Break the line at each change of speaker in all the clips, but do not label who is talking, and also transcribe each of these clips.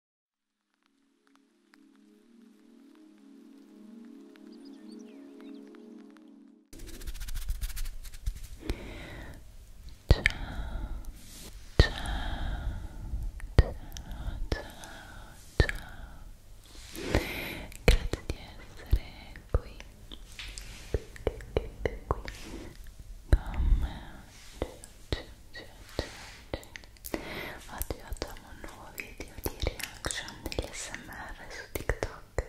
Ciao, ciao, ciao, ciao, ciao. Grazie di essere qui, qui, qui, qui, qui. Ciao, ciao, ciao, ciao, ciao. Oggi facciamo un nuovo video di reaction degli smr su TikTok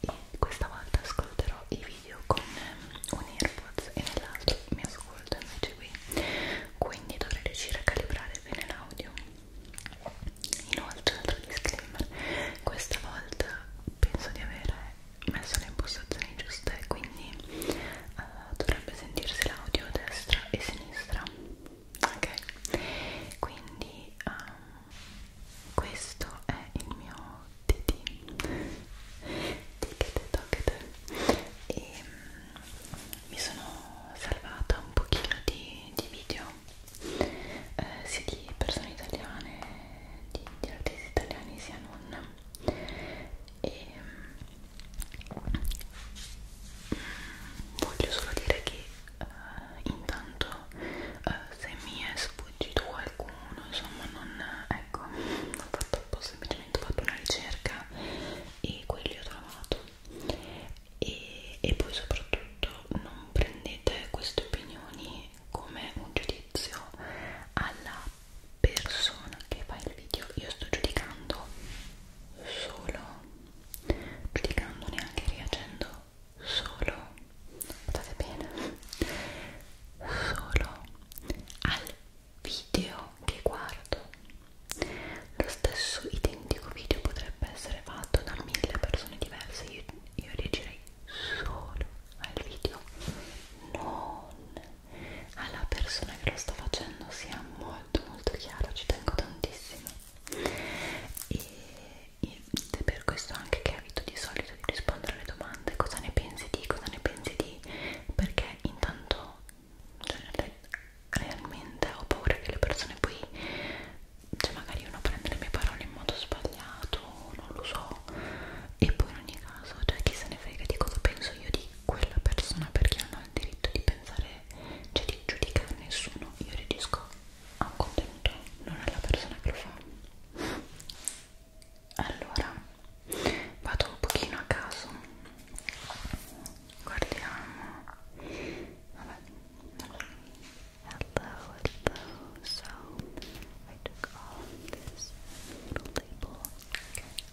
e questa volta ascolterò i video con un earbuds e nell'altro mi ascolto invece qui quindi dovrei riuscire a calibrare bene l'audio inoltre altro disclaimer questa volta penso di avere messo le impostazioni giuste quindi uh, dovrebbe sentirsi l'audio destra e sinistra ok quindi um, questo è il mio TT ticket tocket e um, mi sono salvata un pochino di, di video eh, sia di persone italiane di, di artisti italiani sia non e um, voglio solo dire che uh, intanto uh, se mi è sfuggito qualcuno insomma non ecco ho fatto un po' semplicemente ho fatto una ricerca e quelli ho trovato e, e poi soprattutto non prendete queste opinioni come un giudizio alla persona che fa il video io sto giudicando solo clicandone anche reagendo solo state bene solo al video che guardo lo stesso identico video potrebbe essere fatto da mille persone diverse io, io reagirei solo al video non alla persona che lo sta facendo sia molto molto chiaro, ci tengo tantissimo e, ed è per questo anche che evito di solito di rispondere alle domande cosa ne pensi di, cosa ne pensi di perché intanto cioè, realmente ho paura che le persone poi cioè magari uno prende le mie parole in modo sbagliato, non lo so e poi in ogni caso, cioè chi se ne frega di cosa penso io di quella persona perché non ho il diritto di pensare, cioè di giudicare nessuno, io reagisco a un contenuto, non alla persona che lo fa. Allora, vado un pochino a caso, guardiamo, vabbè, hello, hello, so I took off this little label, okay.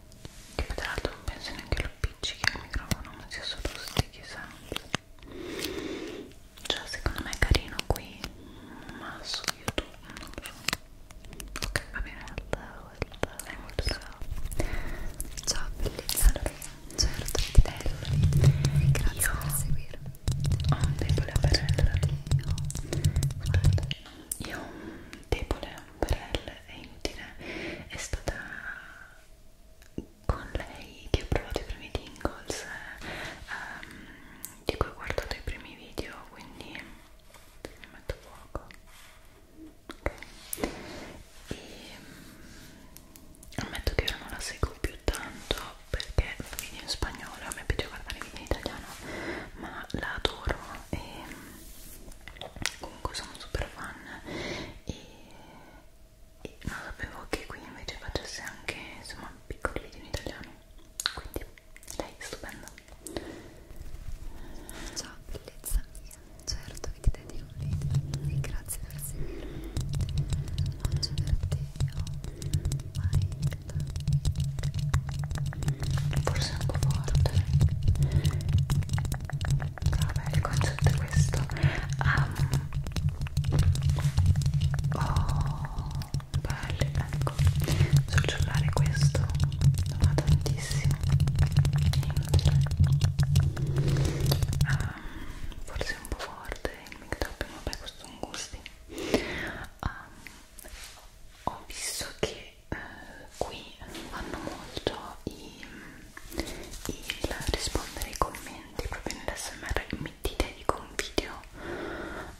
che tra l'altro non penso neanche lo appiccichi al microfono ma sia solo sticky sound cioè secondo me è carino qui ma su youtube non lo so ok va bene hello, hello. è molto bravo ciao bellissima allora, certo ti bello grazie io per seguirmi ho un debole per io ho un debole per lei, è inutile, è stata con lei che ho provato i primi tingles ehm, di cui ho guardato i primi video, quindi ne metto fuoco okay. e mm, ammetto che io non la seguo più tanto perché fa video in spagnolo, a me piace guardare i video in italiano ma la adoro e comunque sono super fan e, e non sapevo che qui invece facesse anche insomma piccoli video in italiano quindi lei è stupenda ciao bellezza mia certo che ti dedico un video e grazie per seguirmi oggi per te ho oh, Minecraft forse un po' forte vabbè il concetto è questo um, oh belli ecco sul cellulare questo non va tantissimo um, forse un po' forte il make up vabbè questo sono gusti um, ho visto che eh, qui vanno molto i, il rispondere ai commenti proprio nell'SMR mettite dico un video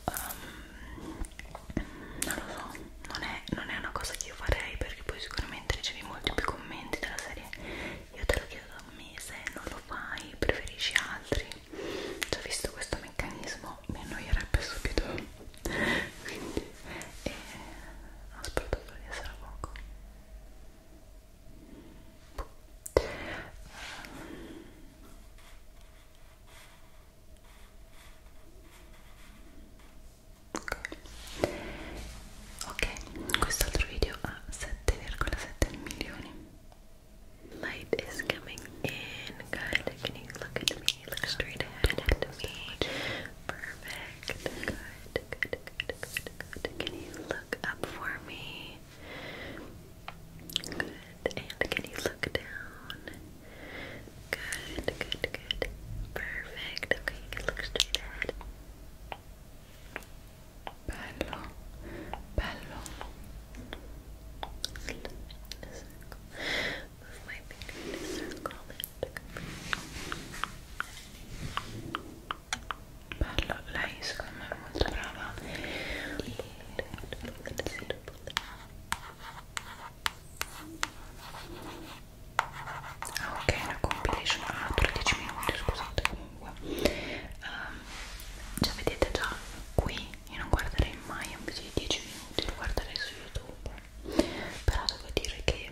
um, non lo so non è, non è una cosa che io farei perché poi sicuramente ricevi molti più commenti della serie io te lo chiedo da un mese non lo fai preferisci altri già visto questo meccanismo mi annoierebbe subito quindi e eh, ho sperato di video ha 7,7 light is coming in, good, can you look at me, look straight ahead perfect, good good, good, good, Can you look up for me? Good. And can you look down? Good, good, good. Perfect. Okay, you can straight ahead. Bello, Move my finger bello lei secondo me è molto brava ah, ok una compilation ah, dura 10 minuti scusate comunque um, già vedete già qui io non guarderei mai un video di 10 minuti lo guarderei su youtube però devo dire che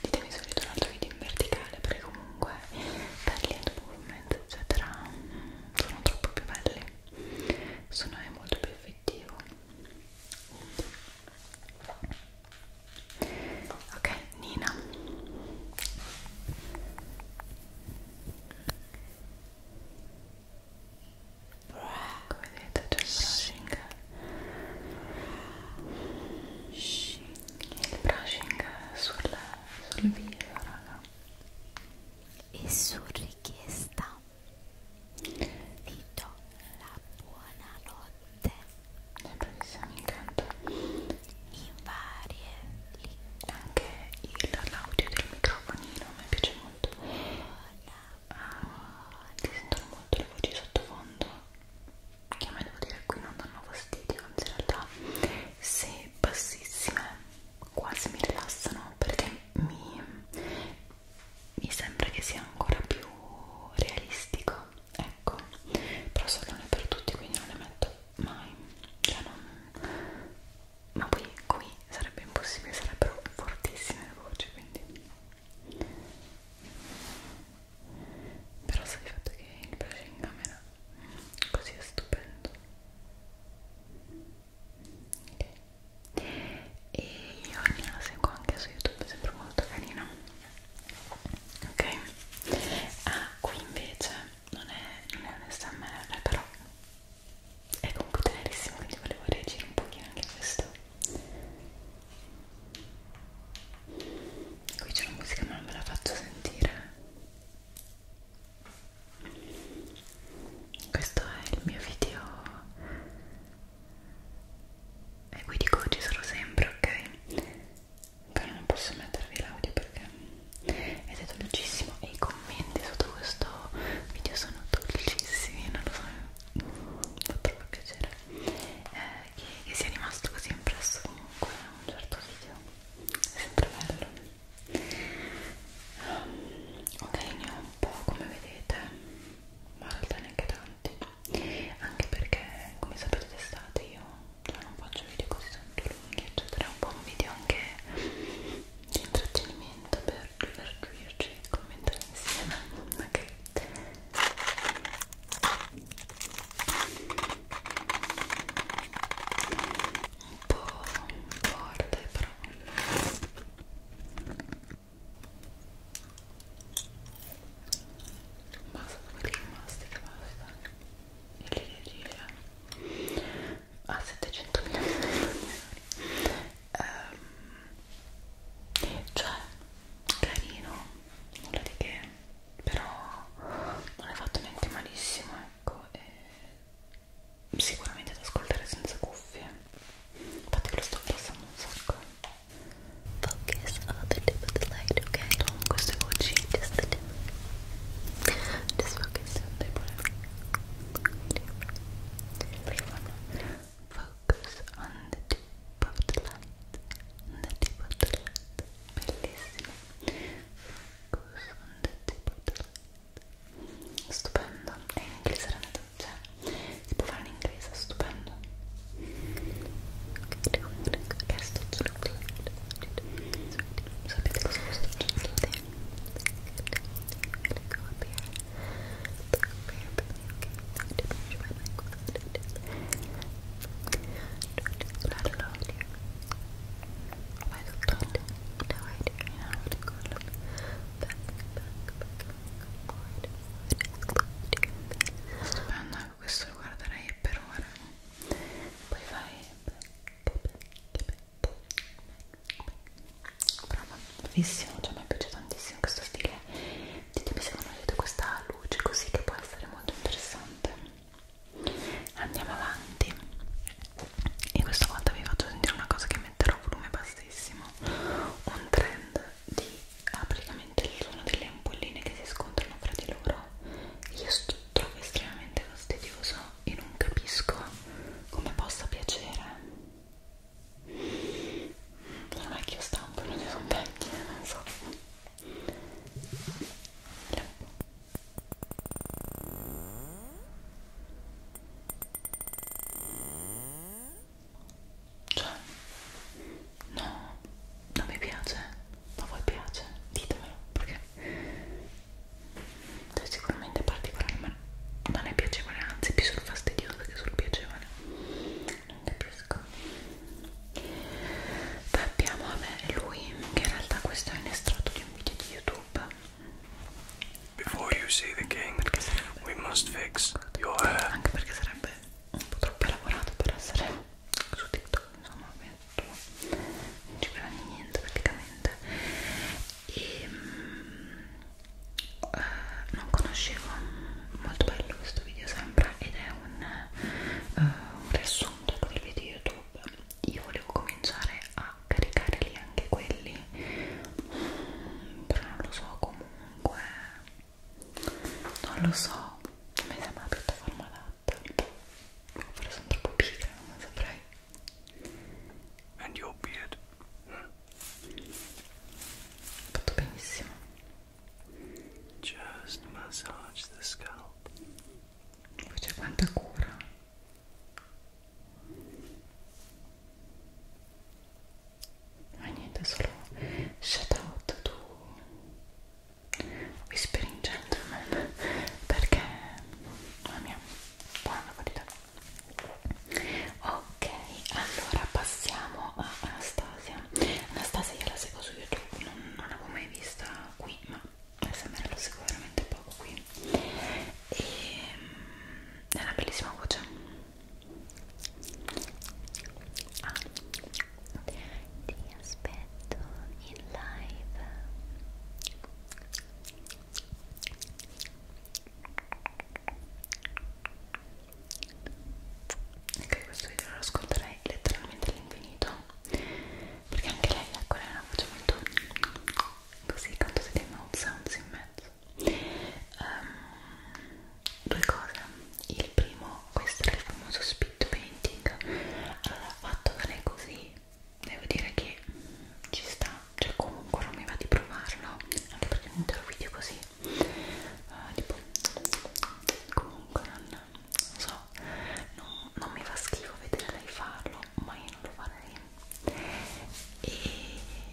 ditemi se vedete un altro video in verticale perché comunque belli hand movement eccetera sono troppo più belli sono è molto più effettivo ok Nina come vedete c'è il brushing il brushing sul, sul viso raga e su richiesta vi do la buonanotte in varie lingue anche l'audio del microfonino mi piace molto buona, buona. Ah, ti sentono molto le voci sottofondo che a me devo dire qui non danno fastidio, anzi in realtà se bassissime quasi mi rilassano perché mi, mi sembra che sia ancora più realistico, ecco, però solo non è per tutti quindi non le metto mai, cioè non... ma poi qui sarebbe impossibile, sarebbero fortissime le voci quindi però sai il fatto che il brush in camera così è stupendo okay. e io la seguo anche su youtube sempre molto carina ok ah qui invece non è, non è un smr però è computerissimo quindi volevo reagire un pochino anche a questo qui c'è una musica ma non ve la faccio sentire questo è il mio video e qui dico ci sarò sempre ok però non posso mettervi l'audio perché ed è dolcissimo e i commenti sotto questo video sono dolcissimi non lo so mi fa troppo piacere eh, e sia rimasto così impresso comunque a un certo video, è sempre bello. Um, ok, ne ho un po' come vedete, ma in realtà neanche tanti, anche perché come sapete d'estate io cioè, non faccio video così tanto lunghi, eccetera, è un po' un video anche di intrattenimento per divertirci e commentare insieme, ok? un po' forte però basta quelli rimasti che basta e li riesce a ah, 700 milioni ehm, cioè carino nulla di che però non hai fatto niente malissimo ecco e sicuramente ad ascoltare senza cuffie infatti lo sto passando un sacco focus on the tip of the light ok con queste voci just the tip just focus on the tip perché fanno focus on the tip of the light the tip of the light bellissimo focus on the tip of the light stupendo è in inglese la traduzione cioè, si può fare in inglese, stupendo che sto sapete cosa sto succedendo? Go up here, go up here, but okay, I have to measure my microphone back, questo lo guarderei per ora poi vai brava, bellissimo, cioè mi piace tantissimo questo stile ditemi se non avete questa luce così che può essere molto interessante andiamo avanti e questa volta vi faccio sentire una cosa che metterò a volume bassissimo un trend di ah, praticamente il suono delle ampolline che si scontrano fra di loro io sto, trovo estremamente fastidioso e non capisco come possa piacere ormai che io stampo non ne sono vecchia non so cioè, no, non mi piace, ma a voi piace, ditemelo perché è cioè, sicuramente particolare, ma non è piacevole, anzi, più sul fastidioso che sul piacevole non capisco poi abbiamo vabbè, lui che in realtà questo è un estratto di un video di youtube Before you see the king, we must fix your hair. Anche perché sarebbe un po' troppo elaborato per essere su TikTok, insomma, penso. non ci prende niente praticamente. E um, uh, non conoscevo molto bello questo video sempre ed è un uh, un riassunto con i video YouTube io volevo cominciare a caricare lì anche quelli però non lo so comunque non lo so non mi sembra una piattaforma adatta però sono troppo pigra non saprei And your beard. Fatto benissimo. Just massage the scalp. C'è quanta cura. Ma niente, solo shout out to Whispering Gentleman perché la mia buona qualità. Ok, allora passiamo a sta Anastasia Anastasia io la seguo su YouTube non, non l'avevo mai vista qui ma SMR lo seguo veramente poco qui e mm, è una bellissima voce ah. ti aspetto in live anche questo video lo ascolterei letteralmente all'infinito perché anche lei ecco lei ha una voce molto così quando si dei mouth sounds in mezzo um, due cose il primo questo era il famoso speed painting allora fatto da lei così devo dire che ci sta cioè comunque non mi va di provarlo anche perché un intero video così uh, tipo comunque non non so, non, non mi fa schifo vedere lei farlo, ma io non lo farei.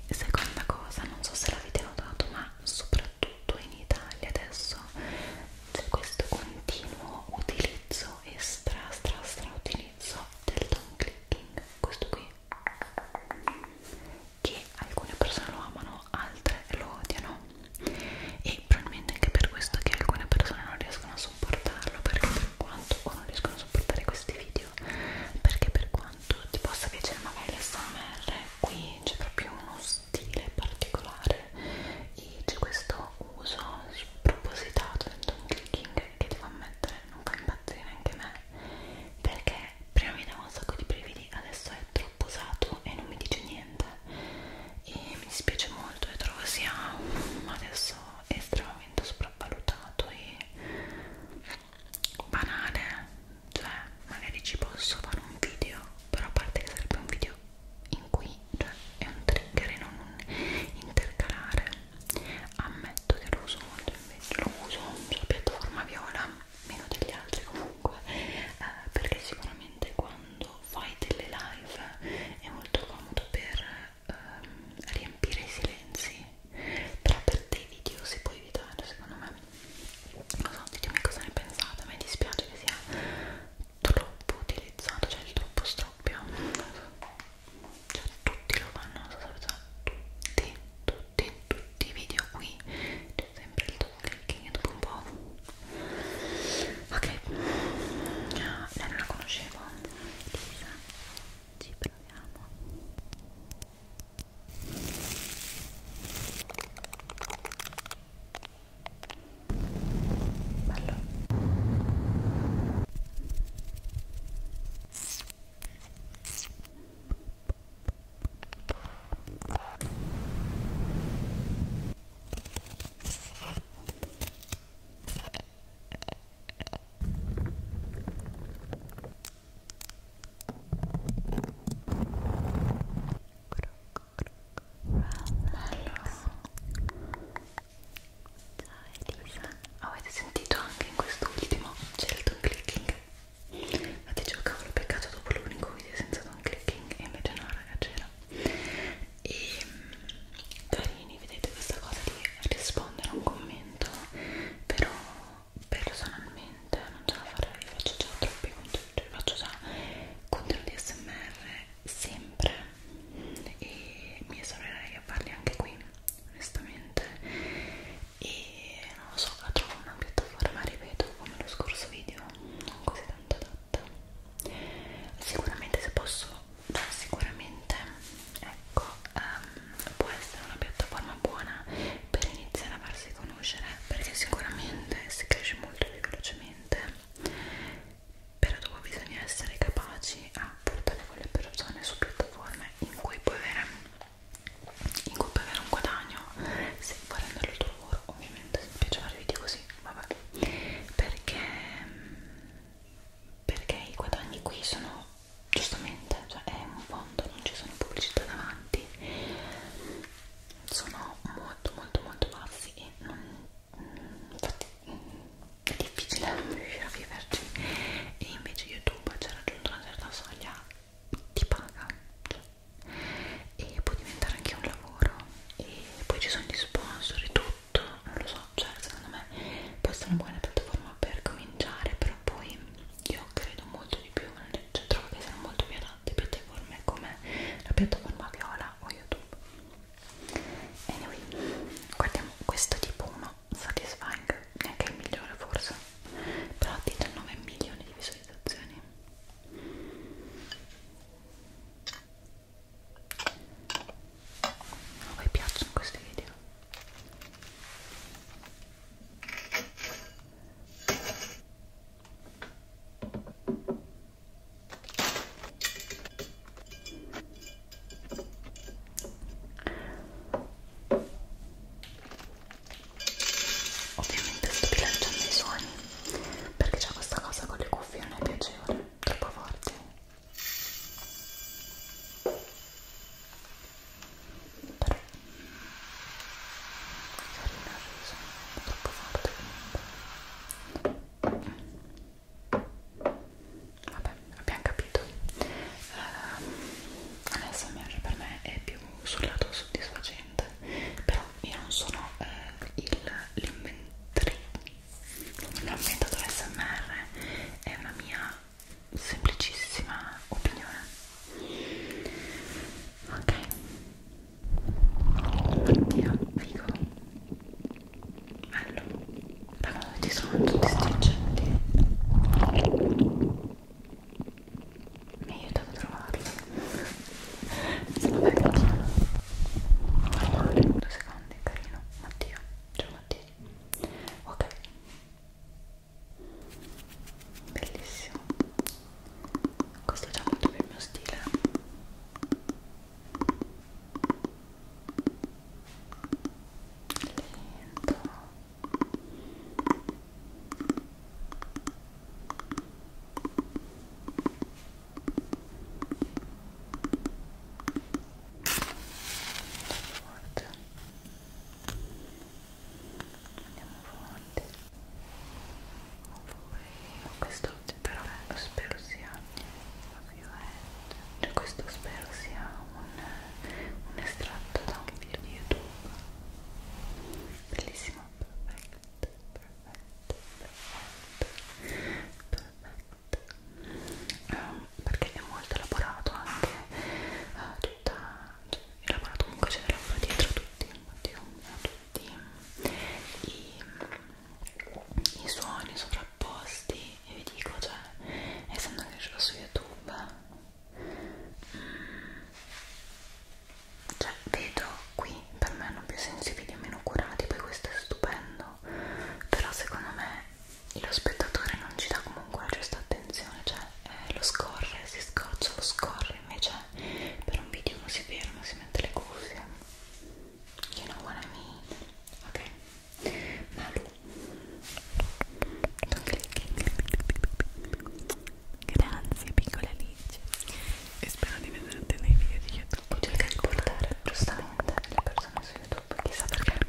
E seconda cosa, non so se l'avete notato, ma soprattutto in Italia adesso c'è questo continuo utilizzo e stra stra stra utilizzo del down clicking, questo qui che alcune persone lo amano, altre lo odiano e probabilmente anche per questo che alcune persone non riescono a sopportarlo perché per quanto o non riescono a sopportare questi video perché per quanto ti possa piacere magari l'SMR qui c'è proprio uno stile particolare e c'è questo uso spropositato del tongue clicking che devo ammettere non fa impazzire anche me perché prima mi dava un sacco di brividi adesso è troppo usato e non mi dice niente niente e mi dispiace molto e trovo sia adesso estremamente sopravvalutato e banale cioè magari ci posso fare un video però a parte che sarebbe un video in cui cioè, è un trigger e non un intercalare ammetto che lo uso molto invece lo uso sulla piattaforma viola meno degli altri comunque comunque eh, perché sicuramente quando fai delle live è molto comodo per ehm, riempire i silenzi però per dei video si può evitare secondo me non so, ditemi cosa ne pensate a me dispiace che sia troppo utilizzato cioè il troppo stroppio cioè tutti lo fanno, tutti, tutti, tutti i video qui sempre il dopo clicking dopo un po' ok lei ah, non la conoscevo Lisa ci proviamo bello Avete sentito anche in quest'ultimo c'è il don clicking? Ma dicevo cavolo peccato dopo l'unico video senza don clicking e invece no raga c'era eccetera e carini vedete questa cosa di rispondere a un commento però personalmente non ce la farei faccio già troppi contenuti faccio già contenuti smr sempre e mi esorerei a farli anche qui onestamente e non lo so la trovo una piattaforma ripeto come lo scorso video non così tanto adatta fatta sicuramente se posso sicuramente ecco um, può essere una piattaforma buona per iniziare a farsi conoscere perché sicuramente si cresce molto più velocemente però dopo bisogna essere capaci a portare quelle persone su piattaforme in cui puoi avere, in cui puoi avere un guadagno se puoi renderlo tuo lavoro ovviamente se piace fare video così vabbè perché perché i guadagni qui sono giustamente cioè è un fondo non ci sono pubblicità davanti sono molto molto molto bassi e non infatti è difficile riuscire a viverci e invece youtube ci ha raggiunto una certa soglia ti paga cioè, e può diventare anche un lavoro e poi ci sono gli sponsor e tutto, non lo so, cioè secondo me questa è una buona piattaforma per cominciare, però poi io credo molto di più, cioè trovo che siano molto più adatte piattaforme come la piattaforma Viola o YouTube. Anyway, guardiamo questo tipo 1, satisfying, neanche il migliore forse, però 19 milioni di visualizzazioni a voi piacciono questi video? Ovviamente sto bilanciando i suoni perché c'è questa cosa con le cuffie non è piacevole, troppo forte però carina il riso, troppo forte comunque vabbè, abbiamo capito l'ASMR ehm, per me è più sul lato soddisfacente però io non sono eh, l'inventatore SMR, è una mia semplicissima opinione. Ok, oddio, figo, bello, da quando ci sono tutti stringenti mi ha aiutato a trovarlo se lo vengo a parlare due secondi, carino Mattia, ciao Mattia ok bellissimo questo è già molto più il mio stile lento forte andiamo avanti poi questo però spero sia ovviamente cioè questo spero sia un, un estratto da un video di youtube bellissimo perfetto perfetto, perfetto, perfetto, perfetto. Um, perché è molto elaborato anche uh, tutta, cioè, elaborato comunque c'è da lavorare dietro tutti, oddio, tutti i, i suoni sovrapposti e vi dico, cioè, essendo che c'è su YouTube mm, cioè vedo qui qui per me hanno più sensibili e meno curati poi questo è stupendo però secondo me lo spettatore non ci dà comunque la giusta attenzione cioè eh, lo scorre, si scoccia, lo scorre invece per un video uno si ferma, si mette le cuffie you know what I mean ok Malu Don't click. grazie piccola Alice e spero di vederti nei video di YouTube. Cerca di portare giustamente le persone su YouTube, chissà perché.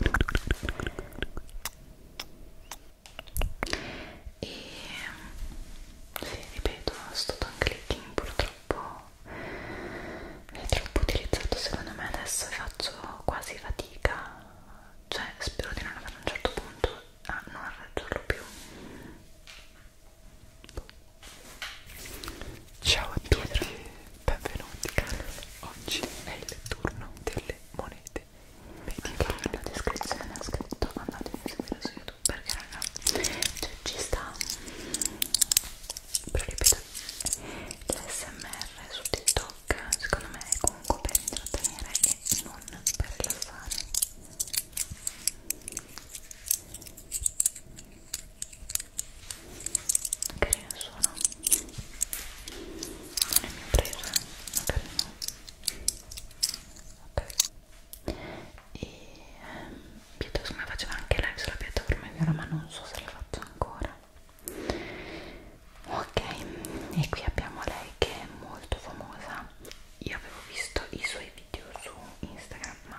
E sì, ripeto, sto tongue clicking purtroppo è troppo utilizzato secondo me adesso e faccio quasi fatica, cioè spero di non avere a un certo punto a non raggiungerlo più Ciao a tutti Pietro. benvenuti Oggi è il turno delle monete medievali Nella descrizione ho scritto andatemi a seguire su YouTube perché raga, cioè ci sta proibito l'SMR su TikTok secondo me è comunque per intrattenere e non per rilassare carino il suono non è mia presa magari no ok e ehm, piuttosto me faceva anche live sulla piattaforma vero ma non so se la faccio ancora ok e qui abbiamo lei che è molto famosa io avevo visto i suoi video su Instagram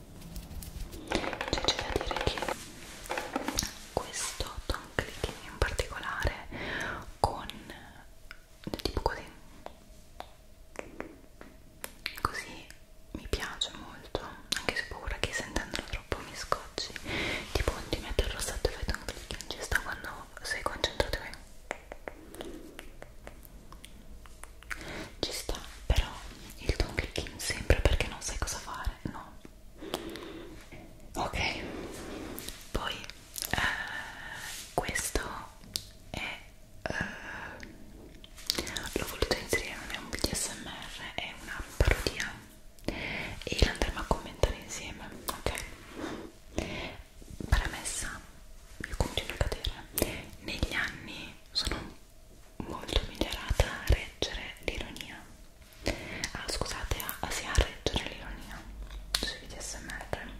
cioè c'è da dire che questo Tom Clicking in particolare con tipo così così mi piace molto anche se ho paura che sentendolo troppo mi scocci tipo di metterlo sotto e fai Tom Clicking ci sta quando sei concentrato qui ci sta però il tuo clicking sempre perché non sai cosa fare no ok poi eh, questo è eh, l'ho voluto inserire non è un video smr è una parodia e l'andremo a commentare insieme ok premessa io continuo a cadere negli anni sono un molto migliorata a reggere l'ironia ah scusate, a, sì, a reggere l'ironia sui DSMR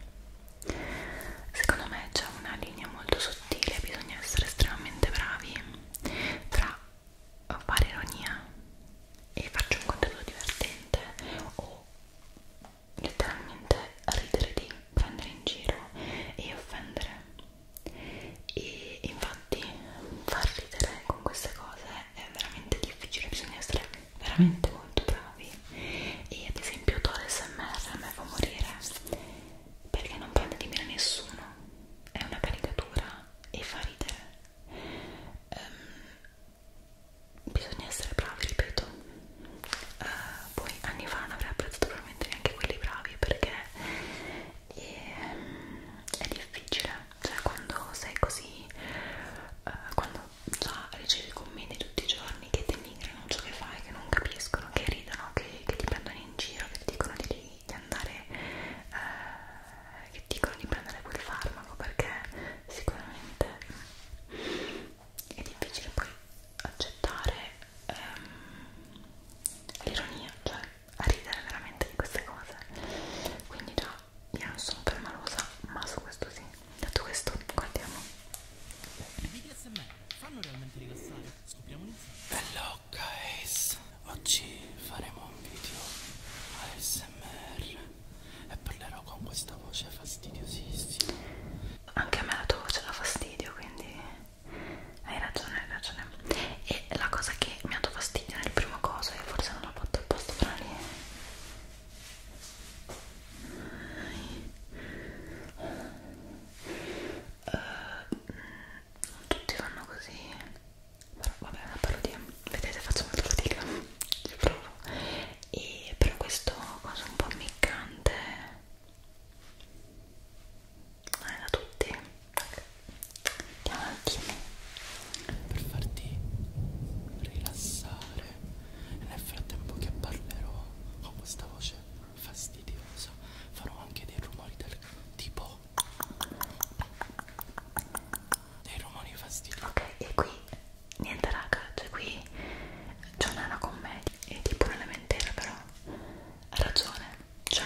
secondo me c'è una linea molto sottile bisogna essere estremamente bravi tra fare ironia e farci un contenuto divertente o letteralmente ridere di prendere in giro e offendere e infatti far ridere con queste cose è veramente difficile, bisogna essere veramente molto bravi e ad esempio Tore SMR a me fa morire perché non prende di mira nessuno, è una caricatura e fa ridere um, bisogna essere bravi, ripeto uh, poi anni fa non avrei apprezzato per sicuramente neanche quelli bravi perché è, è difficile, cioè quando sei così, eh, quando già ricevi commenti tutti i giorni che denigrano ciò che fai, che non capiscono, che ridono, che, che ti prendono in giro, che ti dicono di, di andare, eh, che ti dicono di prendere quel farmaco perché sicuramente è difficile poi accettare ehm, l'ironia, cioè a ridere veramente di queste cose quindi già io non sono per malosa ma su questo sì detto questo guardiamo bello guys oggi faremo un video ASMR e parlerò con questa voce fastidiosissima anche a me la tua voce dà fastidio quindi hai ragione, hai ragione. E la cosa che mi ha dato fastidio nel primo coso, e forse non l'ho fatto apposta fra lì. Uh, non tutti fanno così, però vabbè, è una parodia. Vedete, faccio molto fatica. Ci provo. E per questo coso un po' ammiccante non è da tutti andiamo un attimo per farti rilassare e nel frattempo che parlerò con questa voce fastidiosa farò anche dei rumori del tipo dei rumori fastidiosi ok e qui niente raga cioè qui John è una commedia è tipo una lamentela però ha ragione cioè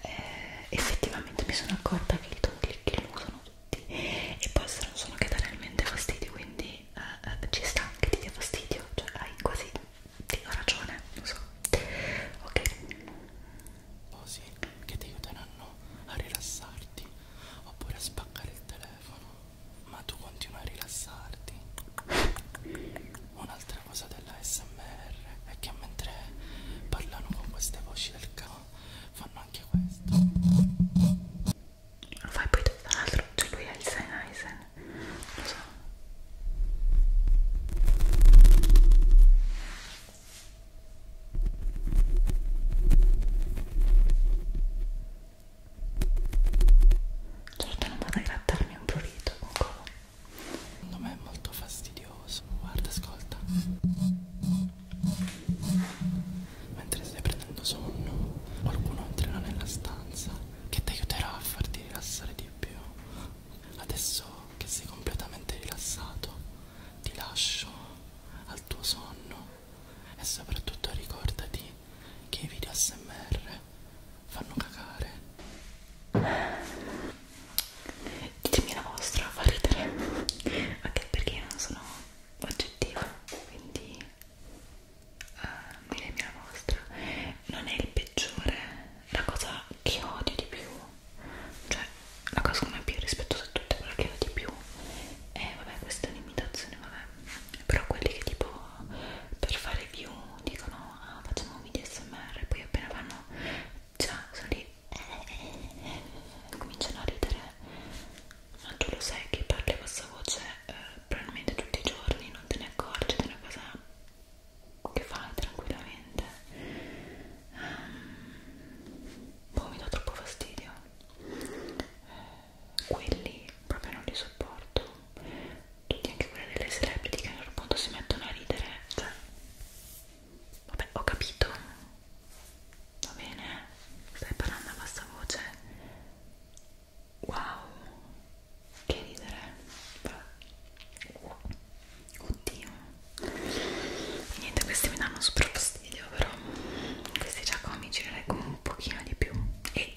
eh, effettivamente mi sono accorta che il ton click lo usano tutti e poi se non sono che dà realmente fastidio quindi eh, eh, ci sta che ti dia fastidio cioè hai quasi ti do ragione lo so ok così che ti aiuteranno a rilassarti oppure a spaccare il telefono ma tu continui a rilassarti Un'altra cosa della SMR è che mentre parlano con queste voci del cavo fanno anche questo. Lo fai poi tutto l'altro, cioè lui è il Sennheiser, lo so. Certo non vado a grattarmi un prurito con comodo. Secondo me è molto fastidioso. Guarda, ascolta. Mentre stai prendendo sonno, qualcuno entrerà nella stanza che ti aiuterà a farti rilassare di più. Adesso che sei completamente rilassato, ti lascio al tuo sonno e soprattutto ricordati che i video ASMR fanno cagare ditemi la vostra fa ridere anche perché io non sono oggettiva quindi uh, eh, ditemi la vostra non è il peggiore la cosa che odio di più cioè la cosa come più rispettosa a tutte quella che odio di più è vabbè questa è un'imitazione vabbè però quelli che tipo per fare view dicono ah, facciamo un video smr poi appena vanno già sono lì e eh, cominciano a ridere ma tu lo sai che parli a bassa voce eh, probabilmente tutti i giorni non te ne accorgi è una cosa che fai tranquillamente um, boh mi do troppo fastidio eh, quelli proprio non li sopporto tutti anche quelle delle celebrity che a un certo punto si mettono a ridere cioè vabbè ho capito va bene stai parlando a bassa voce wow che ridere vabbè. oddio niente questi mi danno super fastidio però questi già comici li leggo un pochino di più e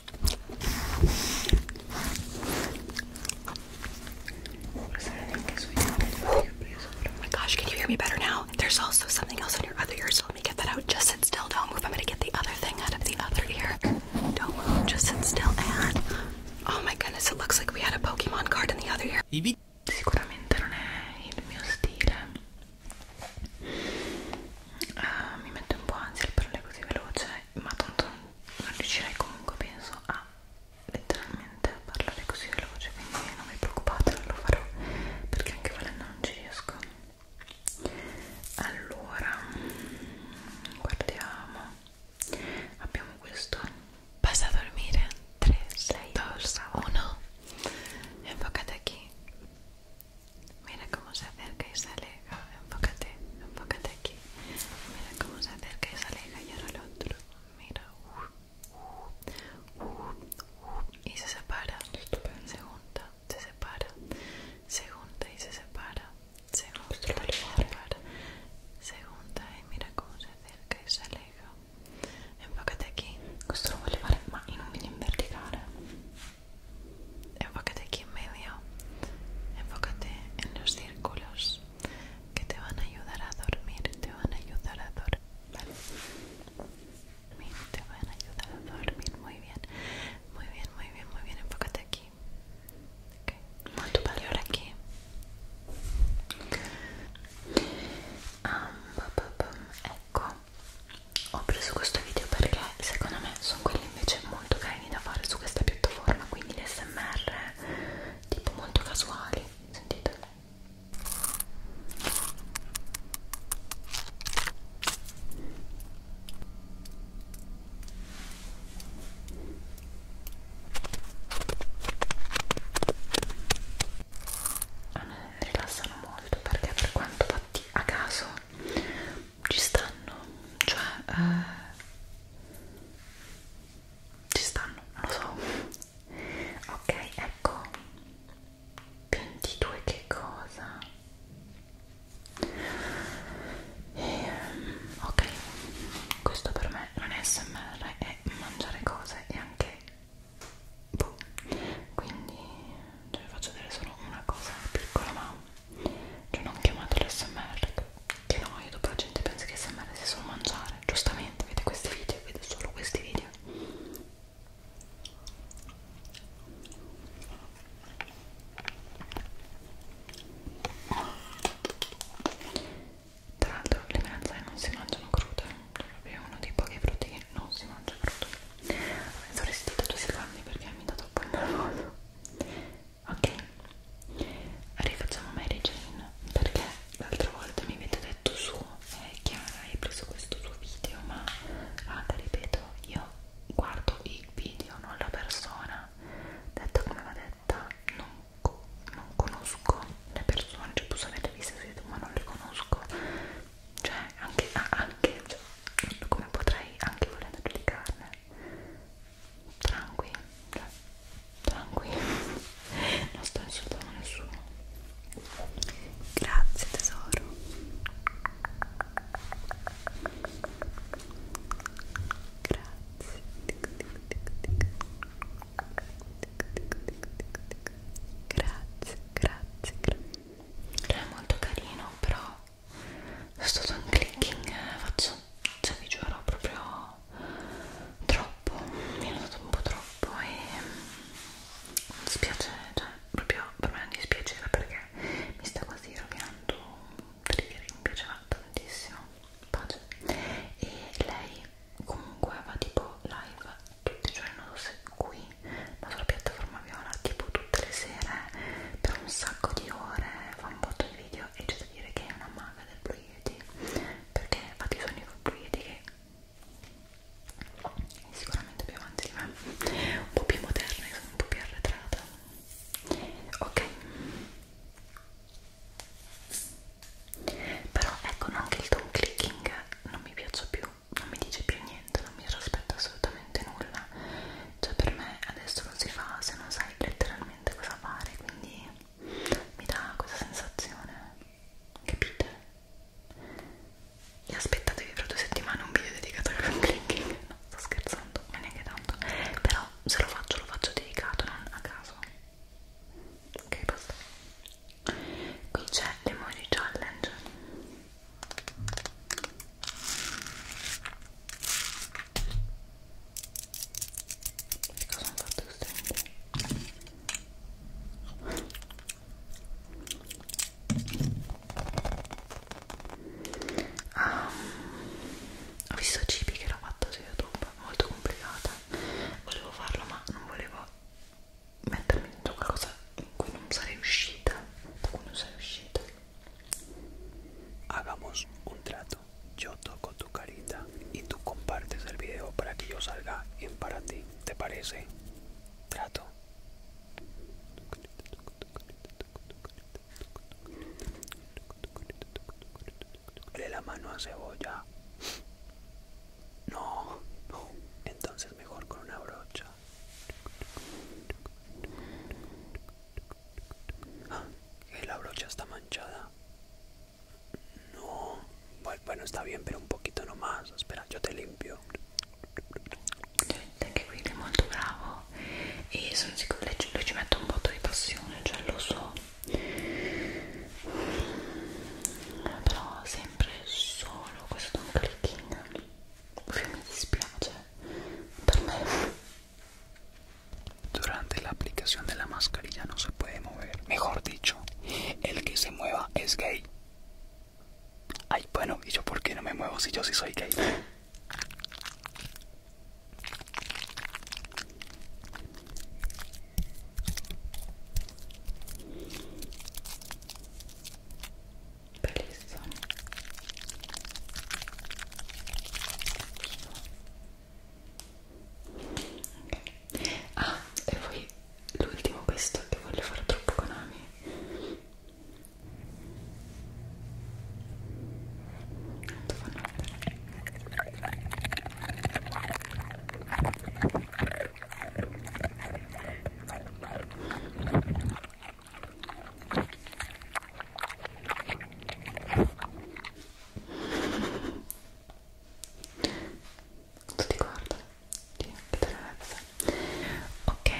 Oh my gosh, can you hear me better now? There's also something else on your other ear, so let me get that out. Just sit still, don't move. I'm gonna get the other thing out of the other ear. Don't move, just sit still and oh my goodness, it looks like we had a Pokemon card in the other ear. ma tanto non riuscirei comunque penso a letteralmente a parlare così veloce quindi non vi preoccupate non lo farò perché anche volendo non ci riesco allora guardiamo abbiamo questo basta dormire 3 6 2 1 enfócate aquí mira cómo se acerca y sale enfócate, enfócate aquí. Mira cómo se acerca y se aleja y ahora el otro. Mira, uh, uh, uh, y se separa. Se junta, se separa, se junta y se separa, se junta y se separa, se junta y mira cómo se acerca y se aleja. Enfócate aquí. esto lo vuole más y no un video in Enfócate aquí en medio. Enfócate en los círculos que te van a ayudar a dormir, te van a ayudar a dormir, ¿vale? Te van a ayudar a dormir, muy bien, muy bien, muy bien, muy bien, enfócate aquí. muy Y ahora aquí. Um, ecco, ho oh, preso este video perché secondo me sono quelli invece muy carini da fare su questa piattaforma quindi le smr tipo molto casuali sentite rilassano molto perché per quanto fatti a caso ci stanno cioè eh, ci stanno, non lo so ok, ecco 22 che cosa e, ehm, ok questo per me non è smr è mangiare cose e anche boh. quindi cioè, faccio vedere solo una cosa piccola ma cioè non chiamatelo smr che noia dopo la gente pensa che smr sia solo mangiare giustamente vede questi video vede solo questi video tra l'altro le melanzane non si mangiano crude è cioè uno dei pochi frutti che non si mangia crudo avrei dovresti tutti i secondi perché mi dà troppo il nervoso ok? Rifacciamo Mary Jane perché l'altra volta mi avete detto su eh, Chiara hai preso questo tuo video ma raga ripeto io guardo il video non la persona detto come va detta non, co non conosco le persone cioè posso averle viste su YouTube ma non le conosco cioè anche, ah, anche cioè, come potrei anche volendo giudicarne tranquillo cioè, tranquillo non sto insultando nessuno grazie tesoro grazie grazie grazie è molto carino però sto un clicking eh, faccio cioè vi giuro proprio troppo, mi è andato un po' troppo e mi dispiace, cioè proprio per me non dispiaceva perché mi sta quasi rovinando un trigger che mi piaceva tantissimo pace e lei comunque va tipo live tutti i giorni, non lo so qui ma sulla piattaforma viola tipo tutte le sere per un sacco di ore fa un botto di video e c'è da dire che è una maga del blue fluidi perché infatti sono i fluidi che sicuramente più avanti di me un po' più moderna e sono un po' più arretrata ok però ecco anche il tone clicking non mi piace più non mi dice più niente non mi aspetto assolutamente nulla cioè per me adesso non si fa se non sai letteralmente cosa fare quindi mi dà questa sensazione capite? e aspettatevi fra due settimane un video dedicato al room clicking no sto scherzando, ma neanche tanto però se lo faccio lo faccio dedicato non a caso ok basta qui c'è l'emoji challenge che cosa hanno fatto queste? Ah, ho visto cibi che l'ho fatto su YouTube, molto complicata. Volevo farlo ma non volevo mettermi dentro qualcosa in cui non sarei uscita. Da cui non sarei uscita. Hagamos un trato. Yo toco tu carita y tú compartes el video para que yo salga en para ti. ¿Te parece? Trato. Le la mano a cebolla. No, no. Entonces mejor con una brocha. Ah, la brocha está manchada. No, pues bueno, está bien, pero un poquito nomás. Espera, yo te limpio. Anche qui è molto bravo e sono sicuro che lui ci mette un botto di passione, cioè lo so. Però sempre solo questo un clicking. Cioè, mi dispiace per me Durante la aplicación de la mascarilla no se puede mover. Mejor dicho, el que se mueva es gay. Ay, bueno, ¿y yo por qué no me muevo si yo sí soy gay? Okay. Ah, e poi l'ultimo questo che voglio fare troppo Konami tu ti guarda ti ok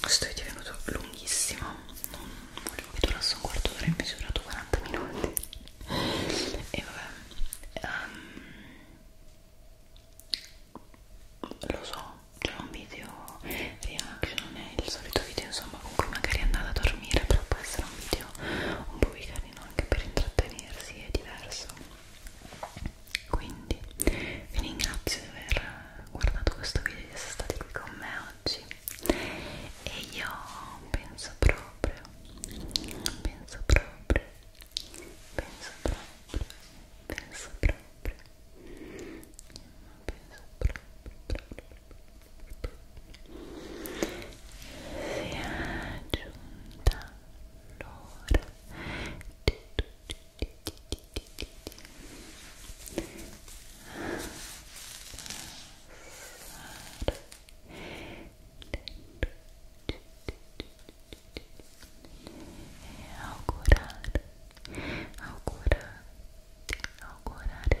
questo è divenuto lunghissimo non volevo che durasse un quarto d'ora invece è durato 40 minuti e vabbè um, lo so c'è un video reaction è il solito video insomma con cui magari andate a dormire però può essere un video carino un po' più carino anche per intrattenersi è diverso quindi vi ringrazio di aver guardato questo video di essere stati qui con me oggi e io penso proprio penso proprio penso proprio penso proprio penso proprio, proprio, proprio, proprio, si è giunta l'ora e augurare augurare augurare